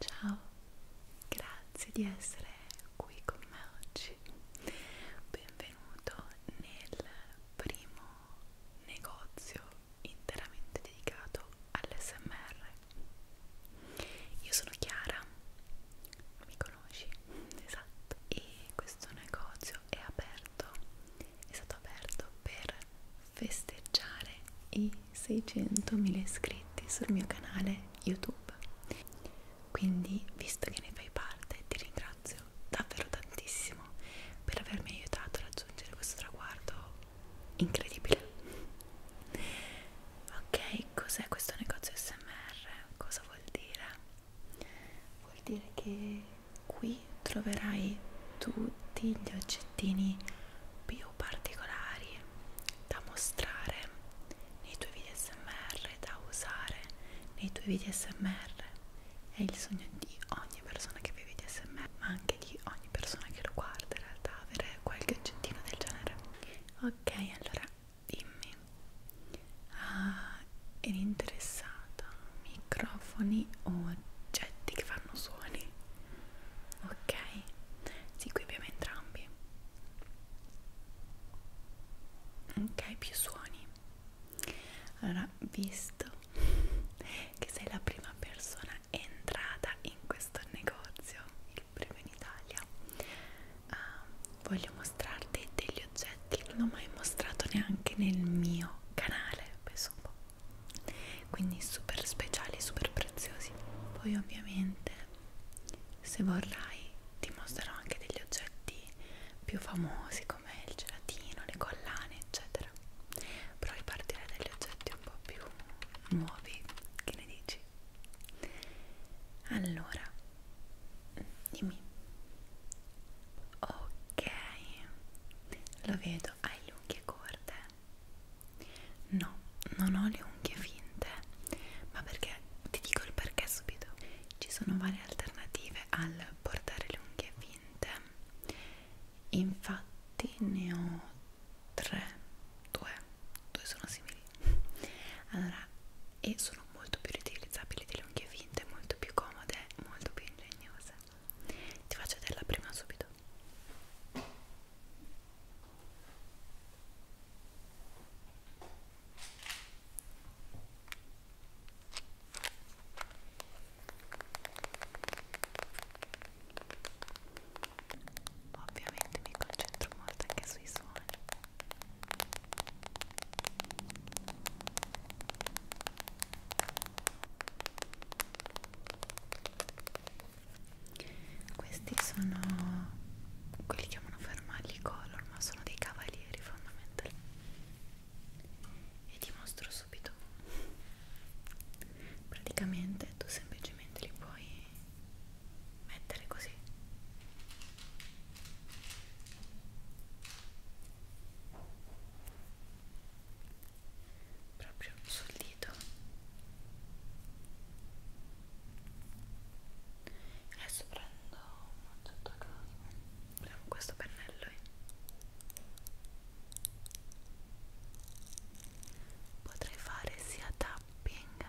Ciao, grazie di essere qui con me oggi. Benvenuto nel primo negozio interamente dedicato all'SMR. Io sono Chiara, mi conosci, esatto e questo negozio è aperto è stato aperto per festeggiare i 600.000 iscritti sul mio canale youtube quindi visto che ne fai parte ti ringrazio davvero tantissimo per avermi aiutato a raggiungere questo traguardo incredibile ok cos'è questo negozio smr cosa vuol vuol dire? Vuol dire che qui troverai tutti gli oggettini più particolari da mostrare nei tuoi video smr, da usare nei tuoi video smr. È il sogno di ogni persona che vede video smr, ma anche di ogni persona che lo guarda in realtà, avere qualche oggettino del genere. Ok, allora dimmi ah, eri interessata microfoni o oggetti che fanno suoni ok sì qui abbiamo entrambi ok più suoni allora visto che sei la prima persona entrata in questo negozio il primo in Italia uh, voglio mostrarti degli oggetti che non ho mai mostrato neanche nel mio canale, penso un po'. Quindi super speciali, super preziosi. Poi ovviamente se vorrai ti mostrerò anche degli oggetti più famosi come il gelatino, le collane, eccetera. Però ripartirei dagli oggetti un po' più nuovi, che ne dici? Allora, Dimmi. Ok, lo vedo, hai le unghie corte? No, non ho le unghie finte, ma perché ti dico il perché subito. Ci sono varie alternative al portare le unghie finte. Infatti ne ho tre, due, due sono simili allora e sono molto più riutilizzabili delle unghie finte molto più comode molto più ingegnose ti faccio vedere la prima subito Ovviamente mi concentro molto anche sui suoni questi sono quelli chiamano fermagli color, ma sono dei cavalieri fondamentalmente. E ti mostro subito. Praticamente tu semplicemente li puoi mettere così proprio sul dito adesso prendo un certo prendo questo pennello eh. potrei fare sia tapping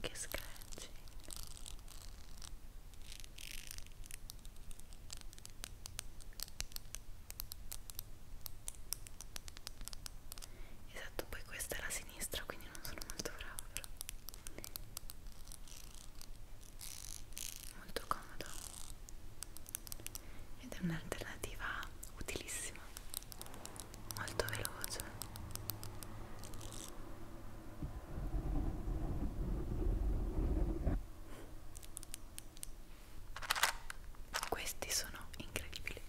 che scratching esatto poi questa è la sinistra quindi non sono molto brava però molto comodo ed è un'alternativa utilissima molto veloce questi sono incredibili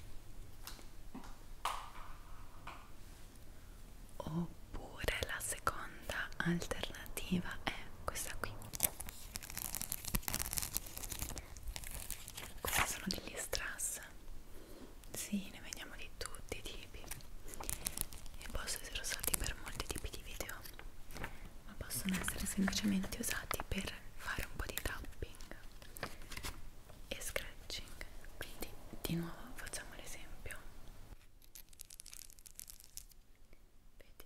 oppure la seconda alternativa è questa qui questi sono degli strass sì, ne vediamo di tutti i tipi e possono essere usati per molti tipi di video ma possono essere semplicemente usati per fare un po' di tapping e scratching quindi di nuovo facciamo l'esempio vedi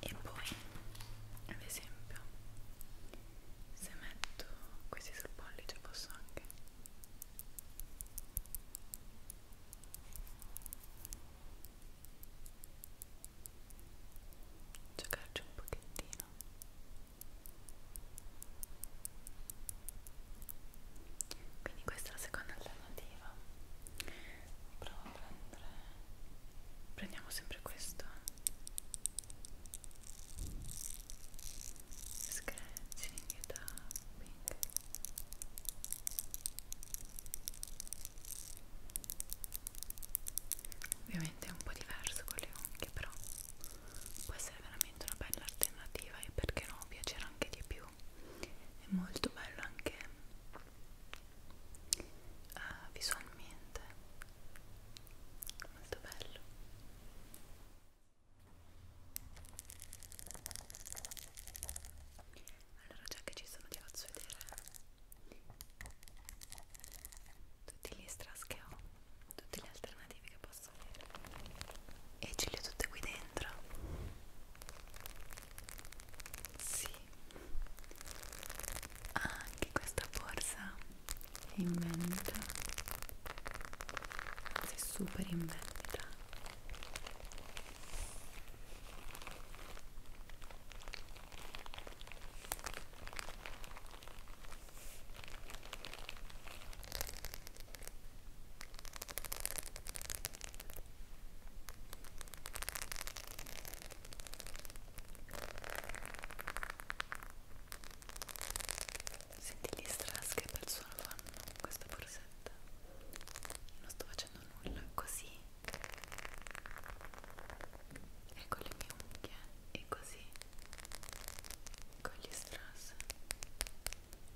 e poi ad esempio se metto questi sul pollice posso anche giocarci un pochettino quindi questa è la seconda alternativa provo a prendere prendiamo sempre questo scratching e tapping ovviamente è un po' diverso con le unghie però può essere veramente una bella alternativa e perché no piacerà anche di più più è molto bello anche uh, visualmente molto bello allora già che ci sono ti faccio vedere tutti gli strass che ho tutte le alternative che posso avere e ce le ho tutte qui dentro sì, anche questa borsa è in vendita, anzi super in vendita. Senti gli strass che bel suono fanno questa borsetta Non sto facendo nulla, così E con le mie unghie E così Con gli strass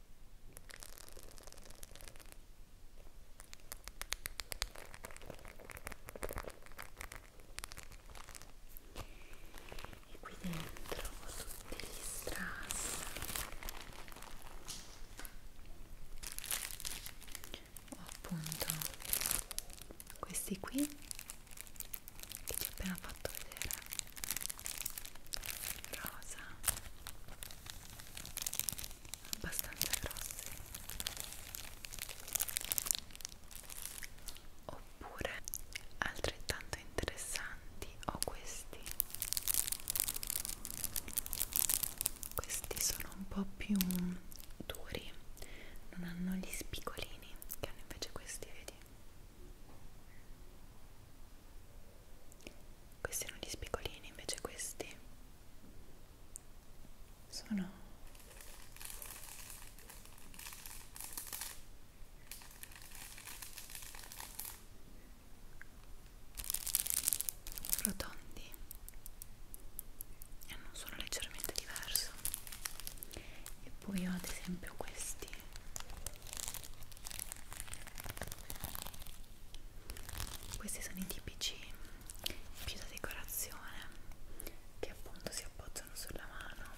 e qui dentro tutti gli strass ho appunto questi qui che ti ho appena fatto vedere rosa abbastanza grossi oppure altrettanto interessanti ho questi questi sono un po' più duri non hanno gli spicolini che hanno invece questi vedi questi erano gli spicolini, invece questi sono rotondi e non sono leggermente diverso e poi ho ad esempio questi questi sono i tipici più da decorazione che appunto si appoggiano sulla mano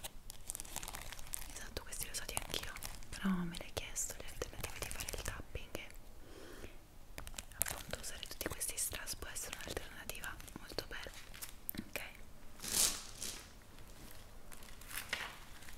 esatto questi li ho usati anch'io però me l'hai chiesto l'alternativa di fare il tapping e appunto usare tutti questi strass può essere un'alternativa molto bella ok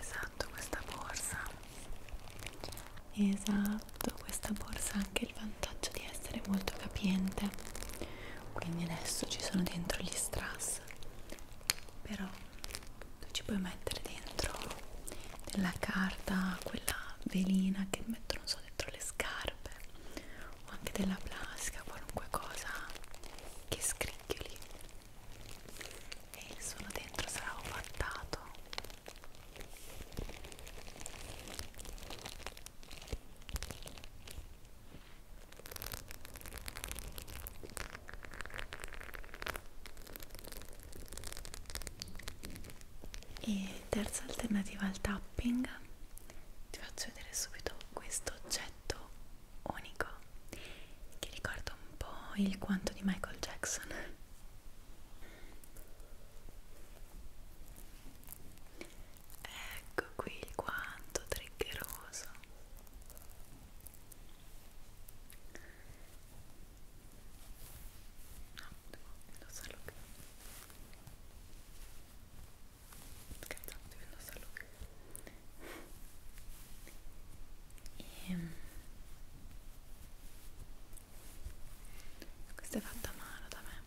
esatto questa borsa esatto questa borsa ha anche il vantaggio di essere molto capiente quindi adesso ci sono dentro gli strass però tu ci puoi mettere dentro della carta quella velina che mettono so dentro le scarpe o anche della plastica qualunque cosa che scricchioli e il suolo dentro sarà ovattato e terza alternativa al tapping ti faccio vedere subito questo oggetto unico che ricorda un po' il quanto di Michael Jackson ecco qui il quanto triggeroso no, devo indossarlo qui scherzavo, devo indossarlo qui e ehm. questa è fatta a mano da me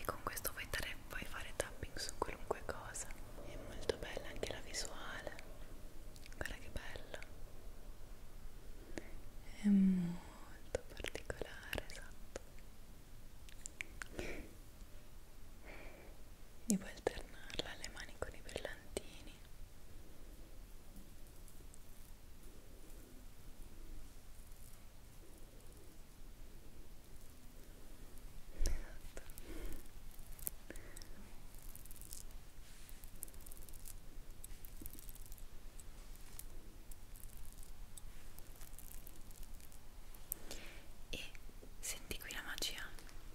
e con questo puoi, dare, puoi fare tapping su qualunque cosa è molto bella anche la visuale guarda che bella è molto particolare esatto e puoi alternarla alle mani con i brillantini esatto e senti qui la magia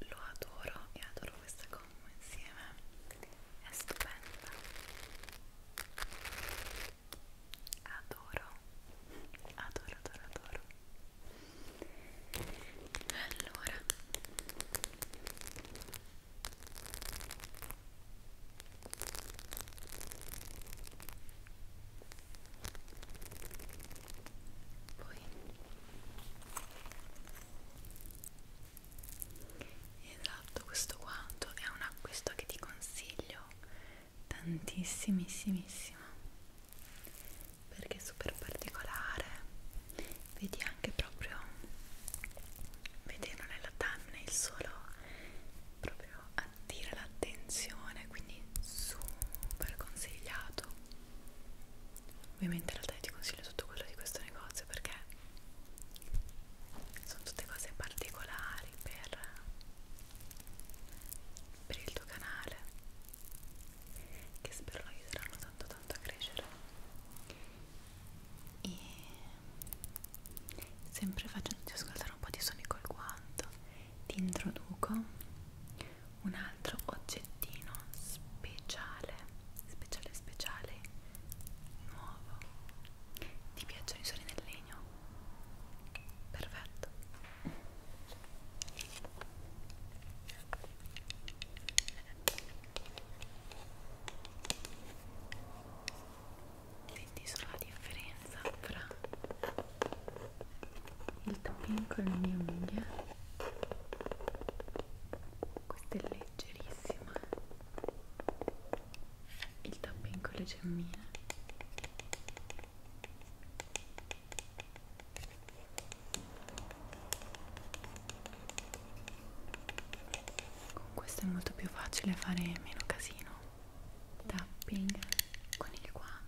lo adoro e adoro questa combo insieme è stupenda adoro adoro adoro adoro allora poi esatto questo quanto è un acquisto che ti consiglio tantissimissimissimo perché è super particolare vedi anche proprio vederlo nella thumbnail solo proprio attira l'attenzione quindi super consigliato Ovviamente in realtà io ti consiglio tutto quello di questo negozio perché sono tutte cose particolari per, per il tuo canale che spero lo aiuteranno tanto tanto a crescere e sempre facendoti ascoltare un po' di suoni col guanto ti introduco un altro oggettino speciale speciale speciale nuovo ti piacciono i suoni del legno? perfetto Senti solo la differenza fra il tapin con le mie unghie questa è leggerissima il tapping con le gemmine con questo è molto più facile fare meno casino tapping con il guanto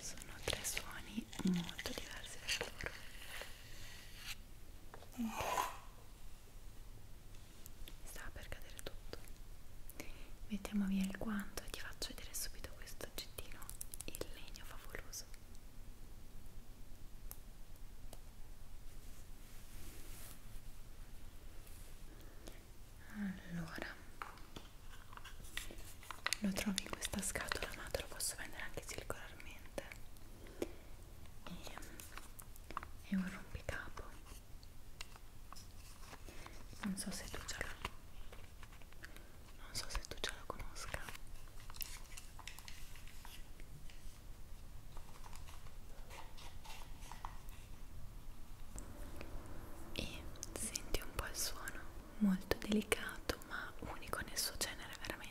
sono tre suoni molto diversi tra loro sta per cadere tutto mettiamo via il guanto e ti faccio vedere subito questo oggettino il legno favoloso allora lo trovi in questa scatola ma te lo posso vendere anche circolarmente e, ehm, è un rompicapo non so se tu già lo non so se tu già lo conosca e senti un po' il suono molto delicato ma unico nel suo genere veramente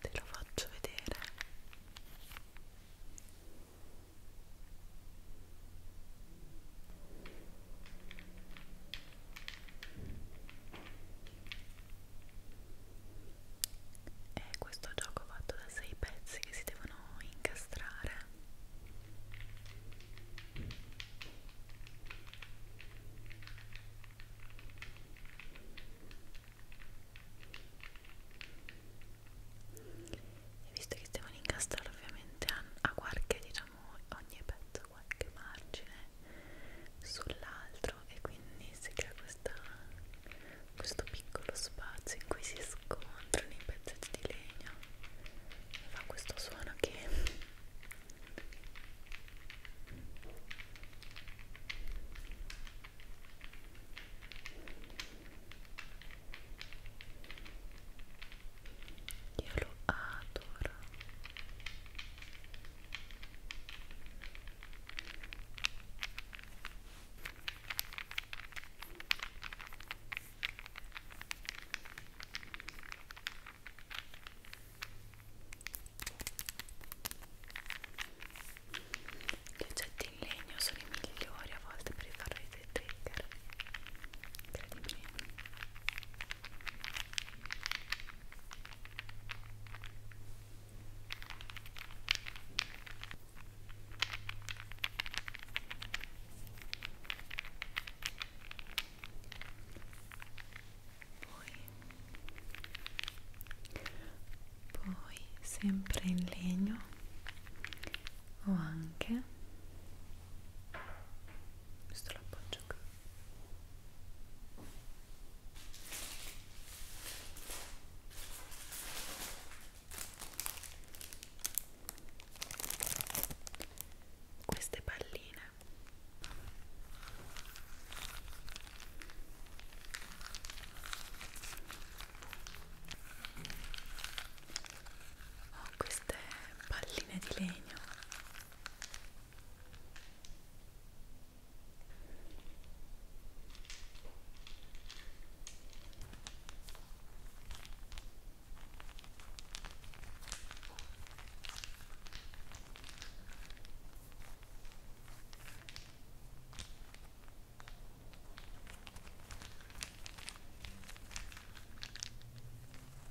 Te lo faccio vedere è questo gioco fatto da sei pezzi che si devono incastrare e visto che si devono incastrare ovviamente a, a qualche diciamo lasciamo ogni pezzo qualche margine sull'altro e quindi si crea questa, questo piccolo spazio in cui si scontrano i pezzetti di legno fa questo suono che io lo adoro. Gli oggetti in legno sono i migliori a volte per fare dei trigger incredibili poi, poi sempre in legno ho anche questo l'appoggio qui queste palline ho ah, queste palline di legno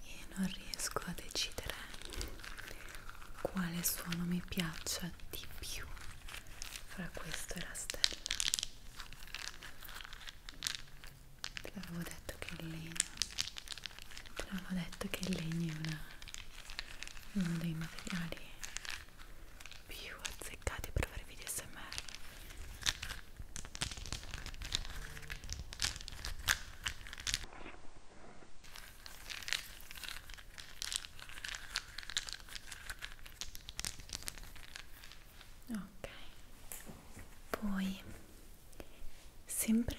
e non riesco a decidere quale suono mi piaccia di più fra questo e la stella te l'avevo detto che il legno te l'avevo detto che il legno è una, uno dei materiali più azzeccati per fare video smr ok poi sempre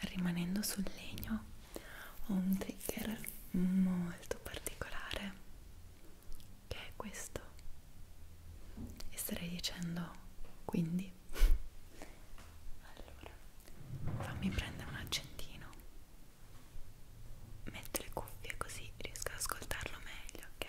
rimanendo sul legno ho un trigger molto particolare che è questo e starei dicendo quindi allora fammi prendere un accentino metto le cuffie così riesco ad ascoltarlo meglio ok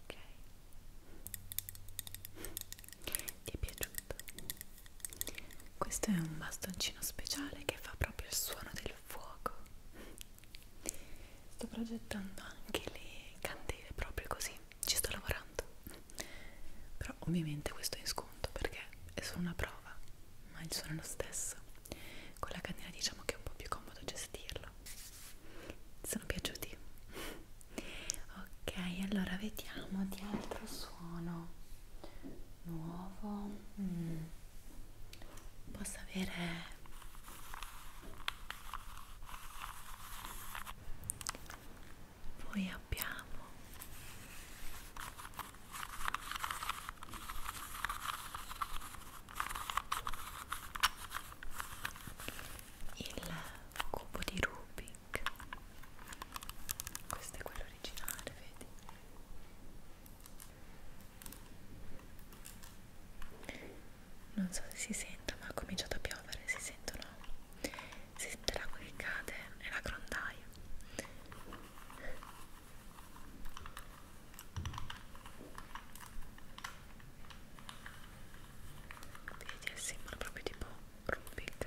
Ok. Ti è piaciuto? Questo è un bastoncino speciale che fa proprio il suono del il fuoco sto progettando anche le candele proprio così ci sto lavorando però ovviamente questo è in sconto perché è solo una prova ma il suono è lo stesso con la candela diciamo che è un po' più comodo gestirlo ti sono piaciuti? ok allora vediamo di altro suono nuovo mm. possa avere poi abbiamo il cubo di Rubik questo è quello originale vedi non so se si sente ma ha cominciato a piovere si sentono si sente l'acqua che cade e la grondaia vedi il simbolo proprio tipo Rubik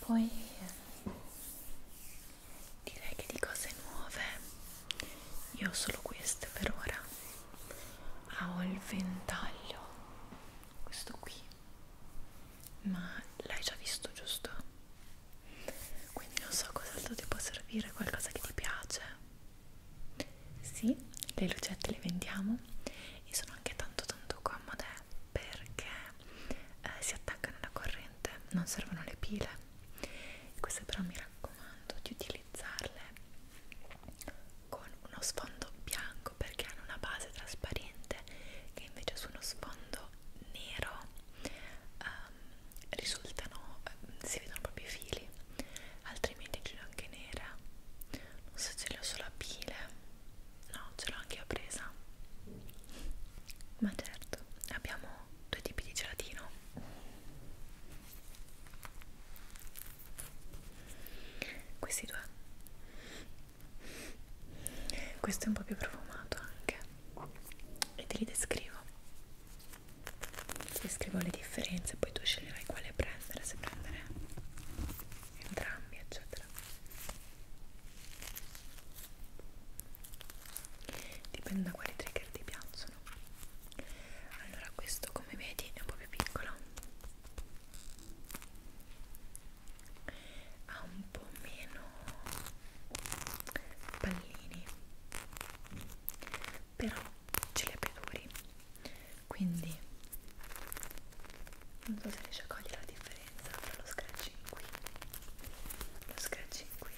Poi direi che di cose nuove io ho solo queste per ora. Ah, ho il ventaglio, questo qui, ma l'hai già visto, giusto? Quindi non so cos'altro ti può servire, qualcosa che ti piace. Sì, le lucette le vendiamo e sono anche tanto tanto comode perché eh, si attaccano alla corrente, non servono le pile. Queste però mi raccomando di utilizzarle con uno sfondo bianco perché hanno una base trasparente che invece su uno sfondo nero um, risultano, eh, si vedono proprio i fili altrimenti ce anche nera non so se ce l'ho sulla pile no ce l'ho anche io presa ma certo abbiamo due tipi di gelatino questi due questo è un po' più profumato anche e te li descrivo ti descrivo le differenze poi tu sceglierai quale prendere se prendere due entrambi eccetera dipende da quali trigger ti piacciono allora questo come vedi è un po' più piccolo ha un po' meno pallini però ce li abbia duri quindi non so se riesci a cogliere la differenza tra lo scratching qui lo scratching qui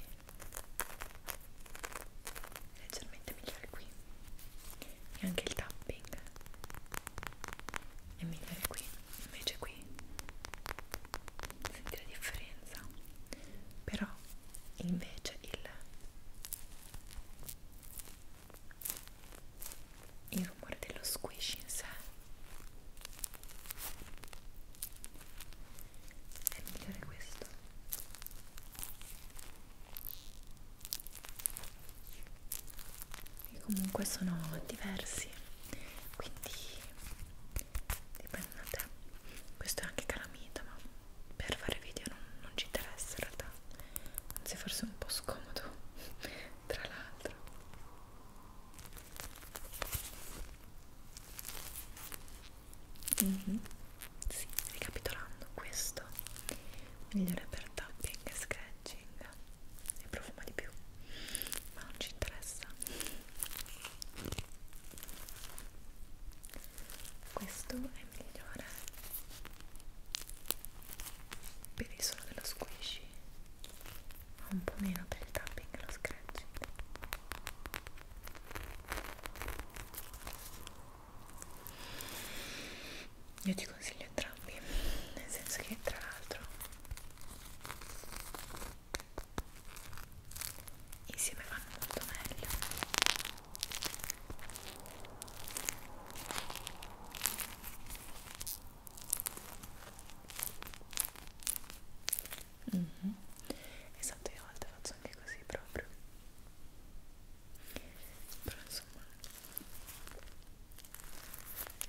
è leggermente migliore qui e anche il tapping è migliore qui invece qui senti la differenza però invece il il rumore dello squish in sé è migliore questo e comunque sono diversi quindi dipende da te questo è anche calamita ma per fare video non, non ci interessa in realtà anzi forse un po' scomodo tra l'altro mm -hmm. sì, ricapitolando questo migliore per tapping e scratching e profuma di più ma non ci interessa questo è migliore per il suono dello squishy ma un po' meno per il tapping e lo scratching io ti consiglio entrambi nel senso che tra l'altro insieme vanno molto meglio Mm -hmm. Esatto, io a volte faccio anche così proprio. Però insomma,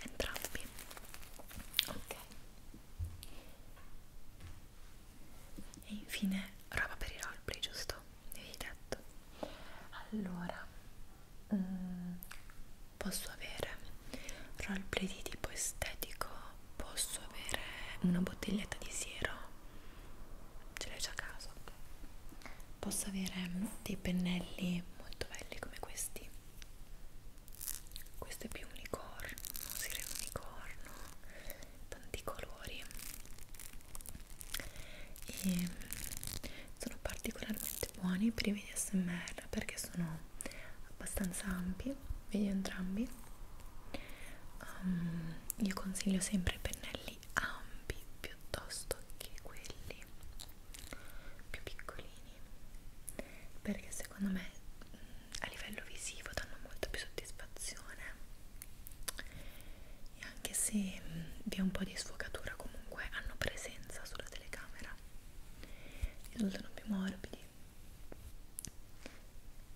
entrambi. Ok. E infine roba per i roleplay, giusto? Mi avevi detto. Allora, mm, posso avere roleplay di tipo estetico, posso avere una bottiglietta di siero, ce l'hai già a caso, posso avere dei pennelli molto belli come questi, questo è più unicorno, sirena unicorno, tanti colori e sono particolarmente buoni per i video smr perché sono abbastanza ampi video entrambi um, io consiglio sempre i pennelli ampi piuttosto che quelli più piccolini perché secondo me mm, a livello visivo danno molta più soddisfazione e anche se mh, vi è un po' di sfocatura comunque hanno presenza sulla telecamera risultano più morbidi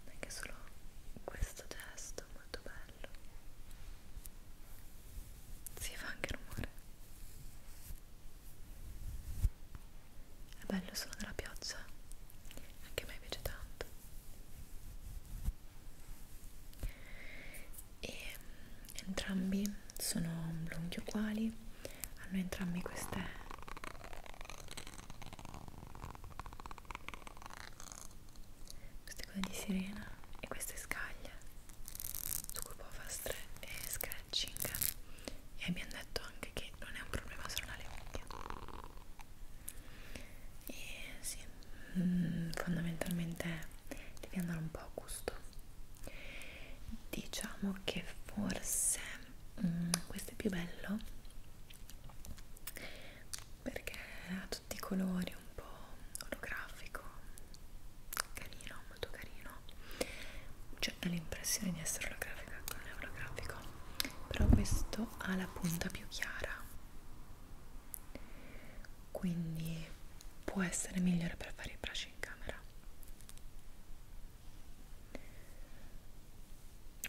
anche solo questo gesto molto bello si fa anche rumore è bello il suono della pioggia anche a me piace tanto e mm, entrambi sono lunghi uguali hanno entrambi queste queste cose di sirena e queste scaglie su cui può fare e eh, scratching e abbiamo detto anche che non è un problema solo le unghie e sì, mm, fondamentalmente devi andare un po' a gusto diciamo che forse mh, mm, questo è più bello perché ha tutti i colori un po' olografico carino, molto carino cioè ho l'impressione di essere olografica non è olografico però questo ha la punta più chiara quindi può essere migliore per fare i bracci in camera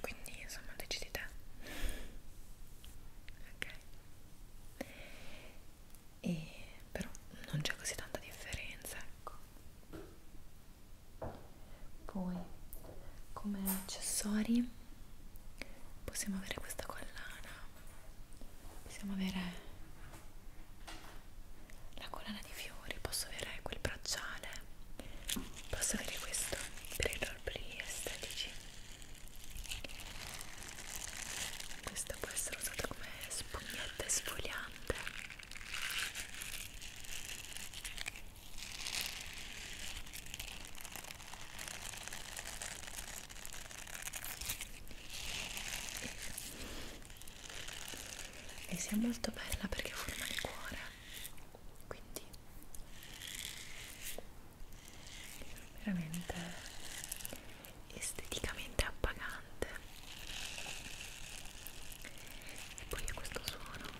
quindi insomma decidi te ok e però non c'è così tanta differenza ecco poi come accessori possiamo avere questa collana possiamo avere la collana di fiori, posso avere quel bracciale, posso avere questo per i roleplay estetici. Questo può essere usato come spugnetta esfoliante e sia molto bella perché forma il cuore quindi veramente esteticamente appagante e poi ha questo suono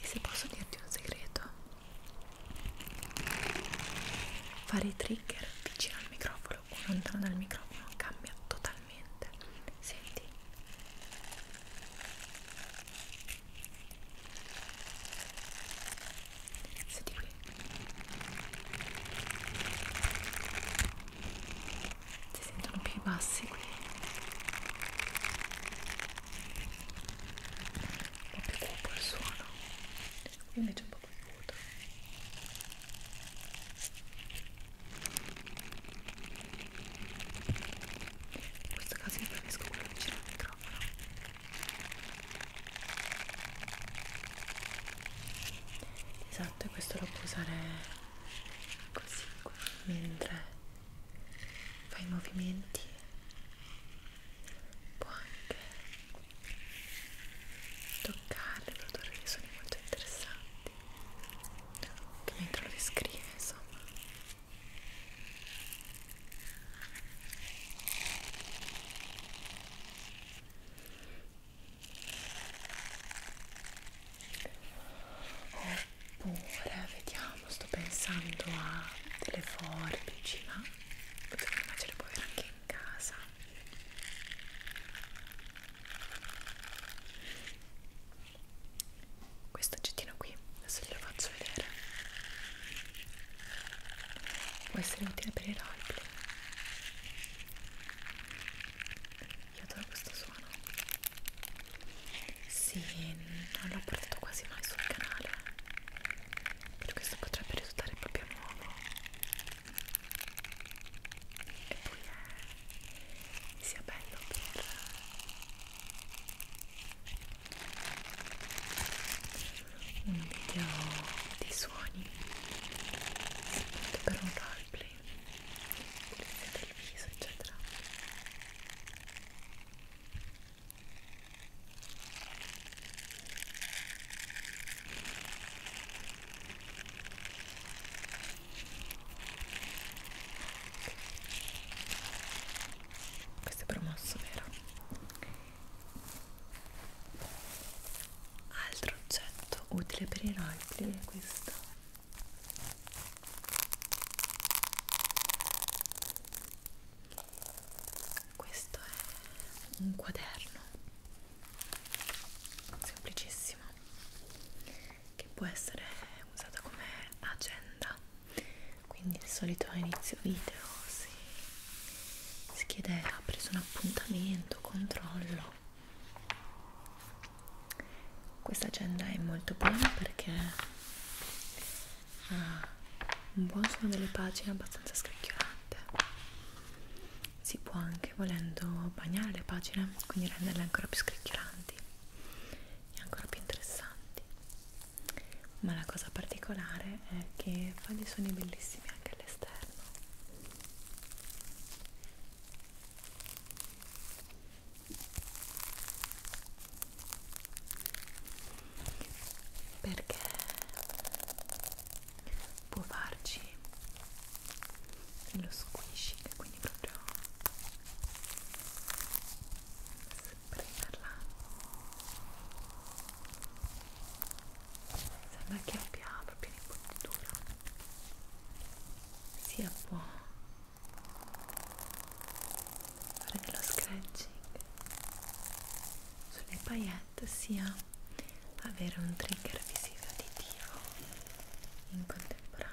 e se posso dirti un segreto, fare i trigger vicino al microfono o lontano dal microfono cambia totalmente. Senti inizio di qui si sentono più bassi qui un po' più cupo il suono qui invece un po' più acuto in questo caso io preferisco quello vicino al microfono esatto e questo lo puoi usare così mentre fai i movimenti può anche toccare produrre dei suoni molto interessanti che mentre lo descrive insomma oppure vediamo sto pensando a delle forbici ma secondo me ce le puoi avere anche in casa questo oggettino qui adesso glielo faccio vedere può essere utile per i roleplay io adoro questo suono. Sì, non l'ho portato quasi mai sul canale. Per questo potrebbe risultare proprio nuovo. E poi è sia bello per un video di suoni per un roleplay pulizia del viso eccetera questo è promosso vero? altro oggetto utile per i rifle è questo questo è un quaderno semplicissimo che può essere usato come agenda quindi di solito a inizio video si schedera, ha preso un appuntamento, controllo. Questa agenda è molto buona perché ha un buon suono delle pagine abbastanza scricchiolante. Si può anche volendo bagnare le pagine, quindi renderle ancora più scricchiolanti e ancora più interessanti. Ma la cosa particolare è che fa dei suoni bellissimi anche all'esterno perché può farci lo squishing quindi proprio spremerla sembra che abbia proprio un'impugnatura sia può fare dello scratching sulle paillette sia avere un trigger visivo auditivo in contemporanea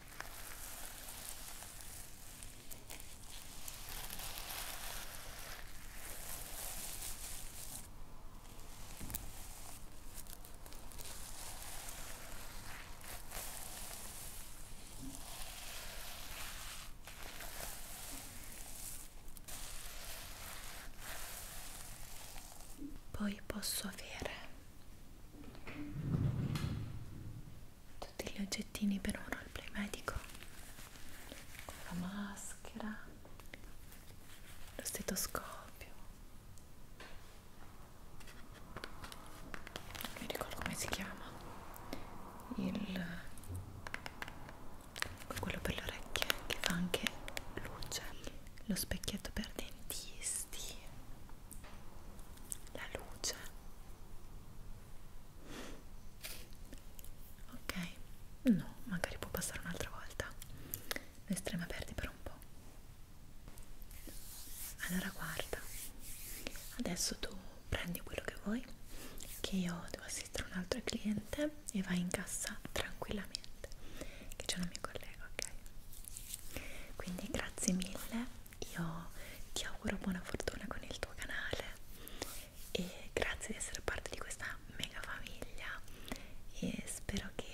Poi posso avere tutti gli oggettini per un roleplay medico con la maschera lo stetoscopio non mi ricordo come si chiama il quello per le orecchie che fa anche luce lo specchietto per dentisti la luce ok no magari può passare un'altra volta noi staremo aperti per un po' allora guarda adesso tu prendi quello che vuoi che io devo assistere un altro cliente e vai in cassa tranquillamente che c'è una mia collega ok quindi grazie mille io ti auguro buona fortuna con il tuo canale e grazie di essere parte di questa mega famiglia e spero che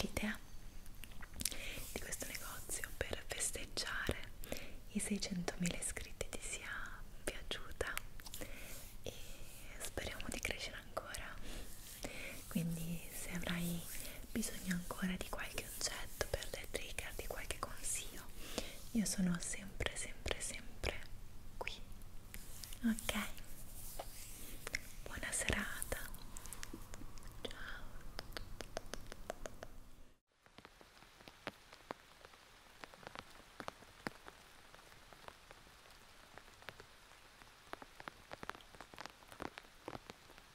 l'idea di questo negozio per festeggiare i 600.000 iscritti ti sia piaciuta e speriamo di crescere ancora quindi se avrai bisogno ancora di qualche qualche oggetto, per dei trigger, di qualche consiglio, io sono sempre, sempre, sempre qui. Ok? Buona serata. Ciao.